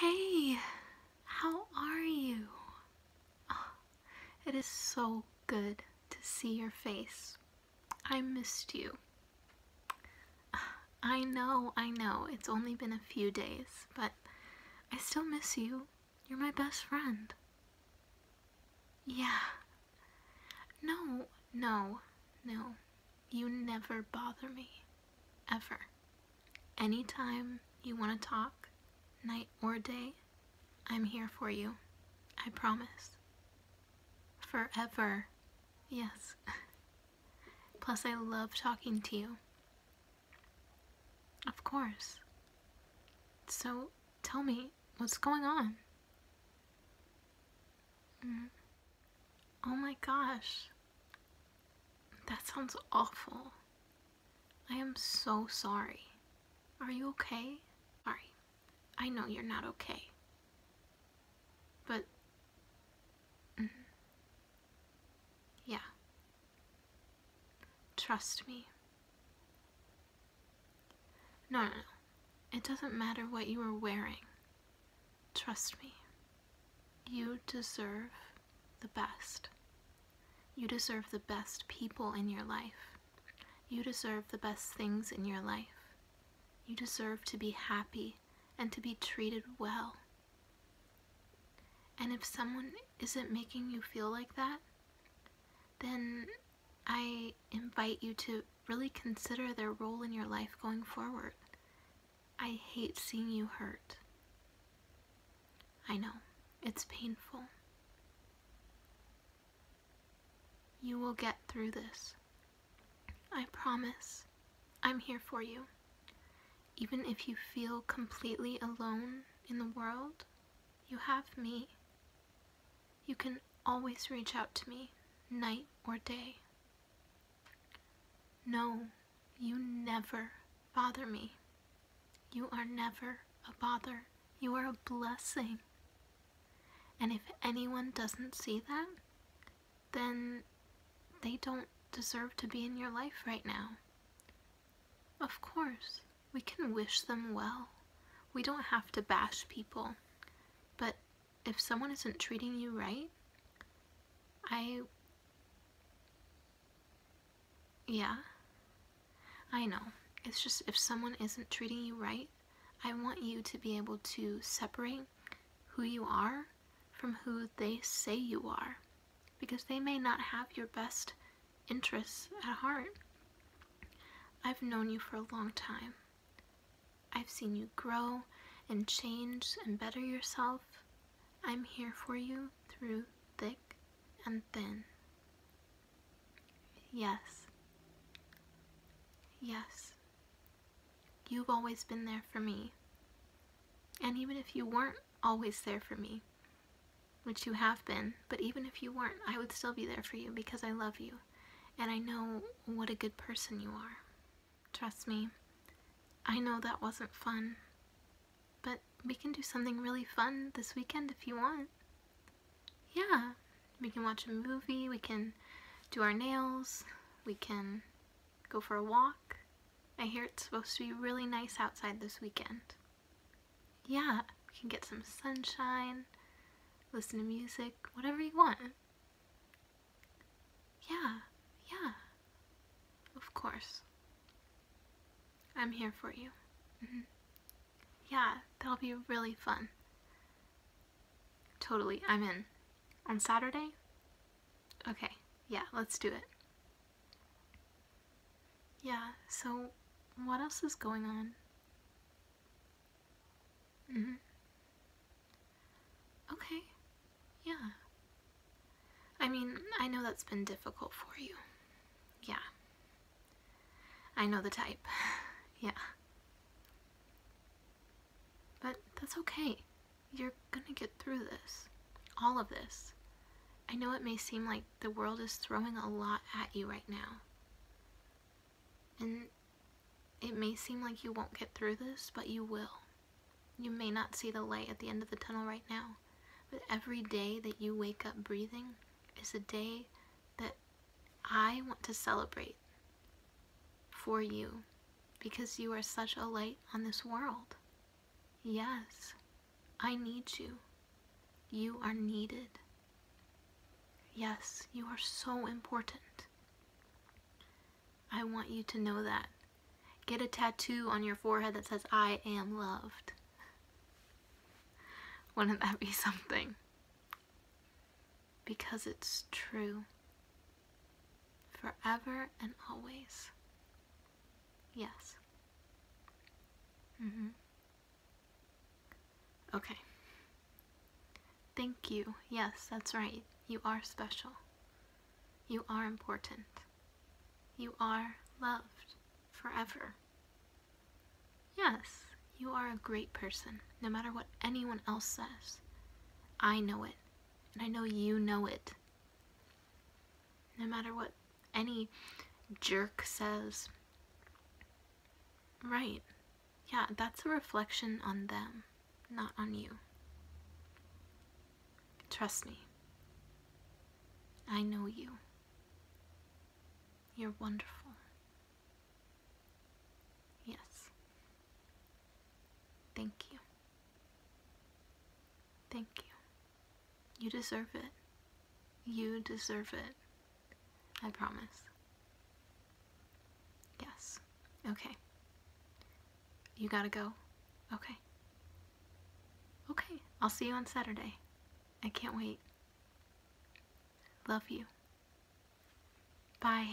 Hey, how are you? Oh, it is so good to see your face. I missed you. I know, I know, it's only been a few days, but I still miss you. You're my best friend. Yeah. No, no, no. You never bother me. Ever. Anytime you want to talk, night or day, I'm here for you. I promise. Forever. Yes. Plus, I love talking to you. Of course. So, tell me, what's going on? Mm. Oh my gosh. That sounds awful. I am so sorry. Are you okay? Sorry. I know you're not okay. But. Mm-hmm. Yeah. Trust me. No, no, no. It doesn't matter what you are wearing. Trust me, you deserve the best. You deserve the best people in your life. You deserve the best things in your life. You deserve to be happy and to be treated well. And if someone isn't making you feel like that, then I invite you to really consider their role in your life going forward. I hate seeing you hurt. I know, it's painful. You will get through this. I promise. I'm here for you. Even if you feel completely alone in the world, you have me. You can always reach out to me, night or day. No, you never bother me. You are never a bother. You are a blessing. And if anyone doesn't see that, then they don't deserve to be in your life right now. Of course, we can wish them well. We don't have to bash people, but if someone isn't treating you right, I. Yeah. I know. It's just if someone isn't treating you right, I want you to be able to separate who you are from who they say you are. Because they may not have your best interests at heart. I've known you for a long time. I've seen you grow and change and better yourself. I'm here for you through thick and thin. Yes. Yes. You've always been there for me. And even if you weren't always there for me, which you have been, but even if you weren't, I would still be there for you because I love you and I know what a good person you are. Trust me, I know that wasn't fun, but we can do something really fun this weekend if you want. Yeah, we can watch a movie, we can do our nails, we can go for a walk. I hear it's supposed to be really nice outside this weekend yeah, you can get some sunshine, listen to music, whatever you want. Yeah, yeah, of course. I'm here for you. Mm-hmm. Yeah, that'll be really fun. Totally, I'm in. On Saturday? Okay, yeah, let's do it. Yeah, so what else is going on? Mm-hmm. Okay, yeah. I mean, I know that's been difficult for you. Yeah. I know the type. yeah. But that's okay. You're gonna get through this. All of this. I know it may seem like the world is throwing a lot at you right now. And it may seem like you won't get through this, but you will. You may not see the light at the end of the tunnel right now, but every day that you wake up breathing is a day that I want to celebrate for you because you are such a light on this world. Yes, I need you. You are needed. Yes, you are so important. I want you to know that. Get a tattoo on your forehead that says, I am loved. Wouldn't that be something? Because it's true. Forever and always. Yes. Mm hmm. Okay. Thank you. Yes, that's right. You are special. You are important. You are loved forever. Yes, you are a great person, no matter what anyone else says. I know it, and I know you know it. No matter what any jerk says. Right. Yeah, that's a reflection on them, not on you. Trust me. I know you. You're wonderful. Yes. Thank you. Thank you. You deserve it. You deserve it. I promise. Yes. Okay. You gotta go. Okay. Okay. I'll see you on Saturday. I can't wait. Love you. Bye.